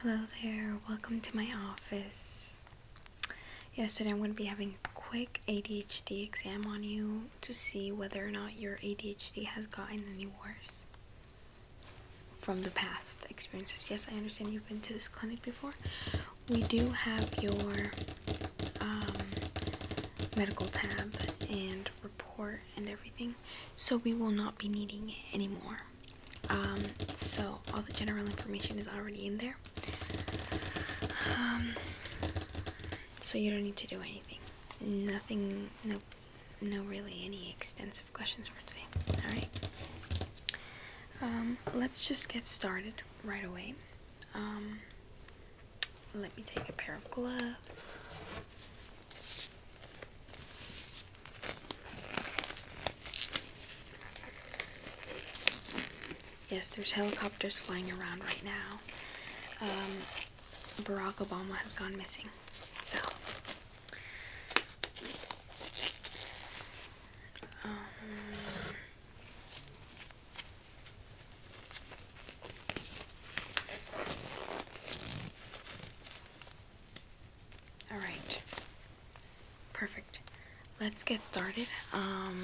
Hello there, welcome to my office. Yesterday I'm going to be having a quick ADHD exam on you to see whether or not your ADHD has gotten any worse from the past experiences. Yes, I understand you've been to this clinic before. We do have your um, medical tab and report and everything so we will not be needing it anymore um, so all the general information is already in there um, so you don't need to do anything nothing no no really any extensive questions for today all right um, let's just get started right away let me take a pair of gloves Yes, there's helicopters flying around right now. Um, Barack Obama has gone missing. So, um, all right. Perfect. Let's get started. Um,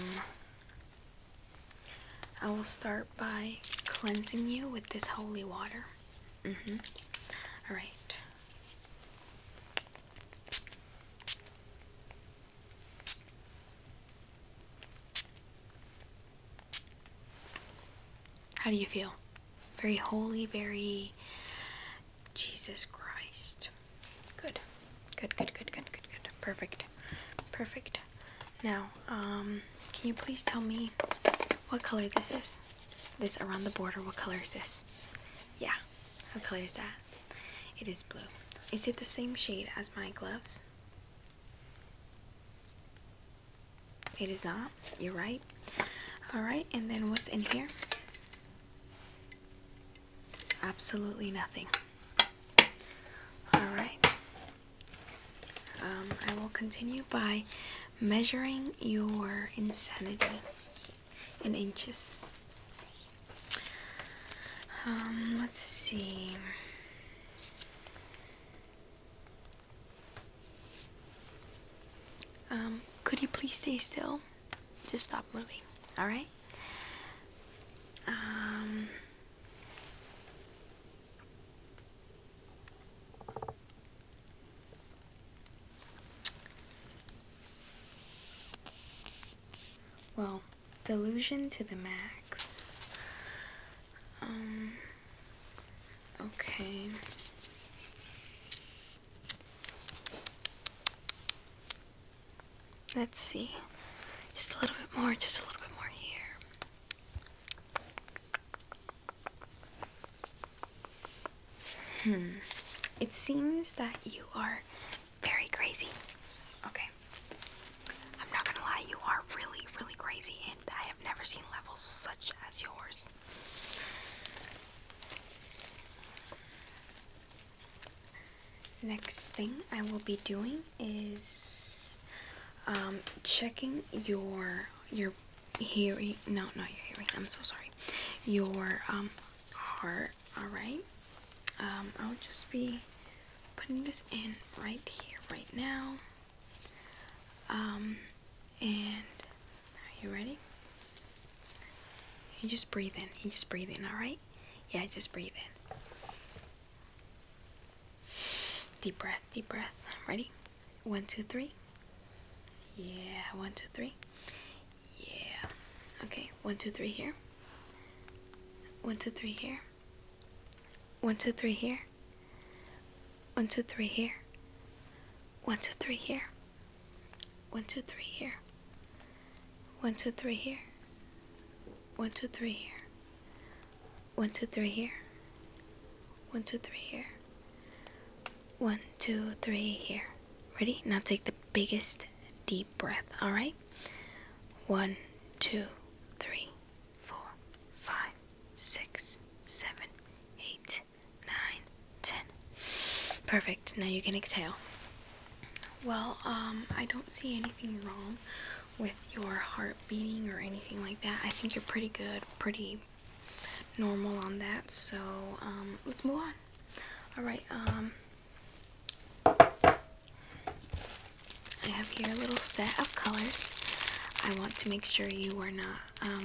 I will start by cleansing you with this holy water. -hmm. All right. How do you feel? very holy, very Jesus Christ. Good. Good, good, good, good, good, good. Perfect. Perfect. Now, um, can you please tell me what color this is? This around the border, what color is this? Yeah. What color is that? It is blue. Is it the same shade as my gloves? It is not. You're right. Alright, and then what's in here? Absolutely nothing. Alright. Um, I will continue by measuring your insanity in inches. Um, let's see. Um, could you please stay still? Just stop moving, alright? Um, well, delusion to the max. Um, Okay. Let's see. Just a little bit more, just a little bit more here. Hmm. It seems that you are very crazy. Okay. I'm not gonna lie, you are really, really crazy, and I have never seen levels such as yours. Next thing I will be doing is um, checking your your hearing. No, not your hearing. I'm so sorry. Your um, heart. All right. Um, I'll just be putting this in right here, right now. Um, and are you ready? You just breathe in. You just breathe in, alright? Yeah, just breathe in. Deep breath, deep breath. Ready? One, two, three. Yeah, one, two, three. Yeah. Okay, one, two, three here. One, two, three here. One, two, three here. One, two, three here. One, two, three here. One, two, three here. One, two, three here. One, two, three here. One, two, three here. One, two, three here. Ready? Now take the biggest deep breath, all right? One, two, three, four, five, six, seven, eight nine, ten. Perfect. Now you can exhale. Well, um, I don't see anything wrong with your heart beating or anything like that. I think you're pretty good, pretty normal on that. So um, let's move on. All right. Um, I have here a little set of colors. I want to make sure you are not um,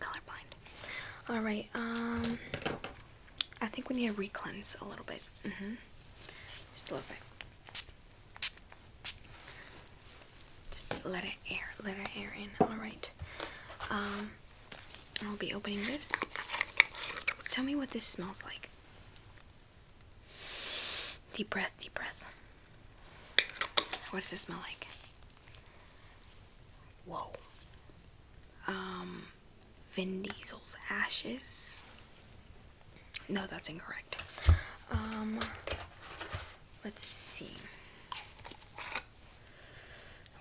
colorblind. Alright, um, I think we need to re-cleanse a little bit. Mm hmm Just a little bit. Just let it air, let it air in. Alright. Um, I'll be opening this. Tell me what this smells like. Deep breath, deep breath. What does this smell like? Whoa. Um, Vin Diesel's ashes. No, that's incorrect. Um, let's see.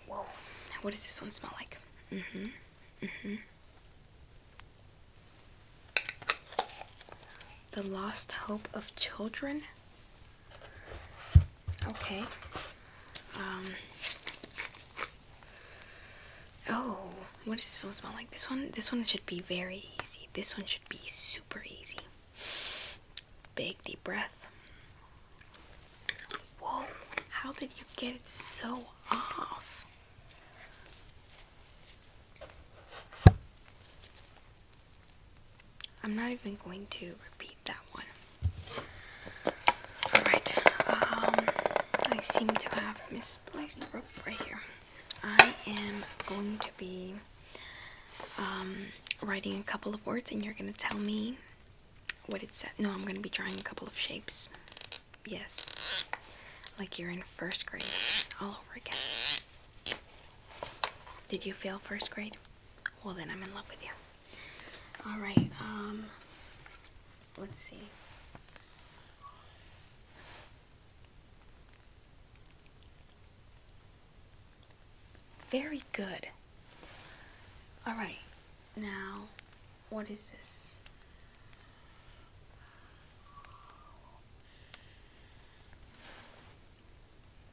Whoa. What does this one smell like? hmm hmm The Lost Hope of Children. Okay. Um, oh, what does this one smell like? This one, this one should be very easy. This one should be super easy. Big deep breath. Whoa, how did you get it so off? I'm not even going to repeat that one. Alright, um, I seem to have misplaced the rope right here. I am going to be um, writing a couple of words and you're going to tell me what it said. No, I'm going to be drawing a couple of shapes. Yes. Like you're in first grade all over again. Did you fail first grade? Well, then I'm in love with you. All right. Um, let's see. Very good. All right. Now, what is this?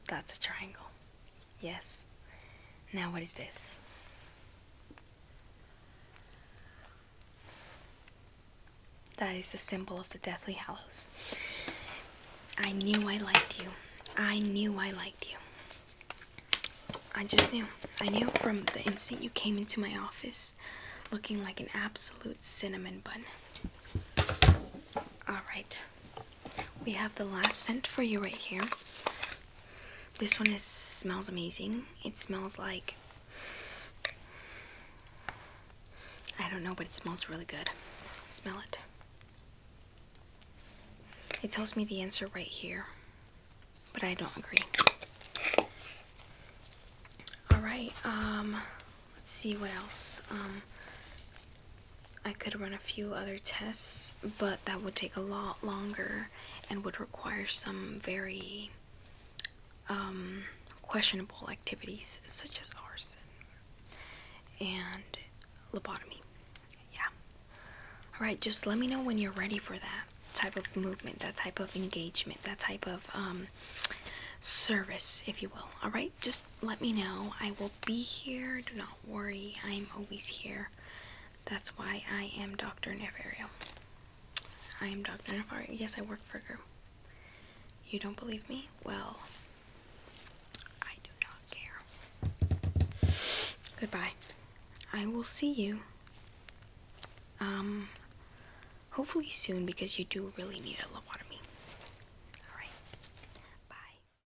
That's a triangle. Yes. Now what is this? That is the symbol of the Deathly Hallows. I knew I liked you. I knew I liked you. I just knew. I knew from the instant you came into my office looking like an absolute cinnamon bun. Alright. We have the last scent for you right here. This one is smells amazing. It smells like I don't know, but it smells really good. Smell it. It tells me the answer right here, but I don't agree. All right. Um, let's see what else. Um, I could run a few other tests, but that would take a lot longer and would require some very um, questionable activities such as arson and lobotomy. Yeah. Alright, just let me know when you're ready for that type of movement, that type of engagement, that type of um, service, if you will. Alright, just let me know. I will be here. Do not worry, I am always here. That's why I am Dr. Nefario. I am Dr. Nefario. Yes, I work for Grim. You don't believe me? Well, I do not care. Goodbye. I will see you. Um, hopefully soon because you do really need a lobotomy. Alright. Bye.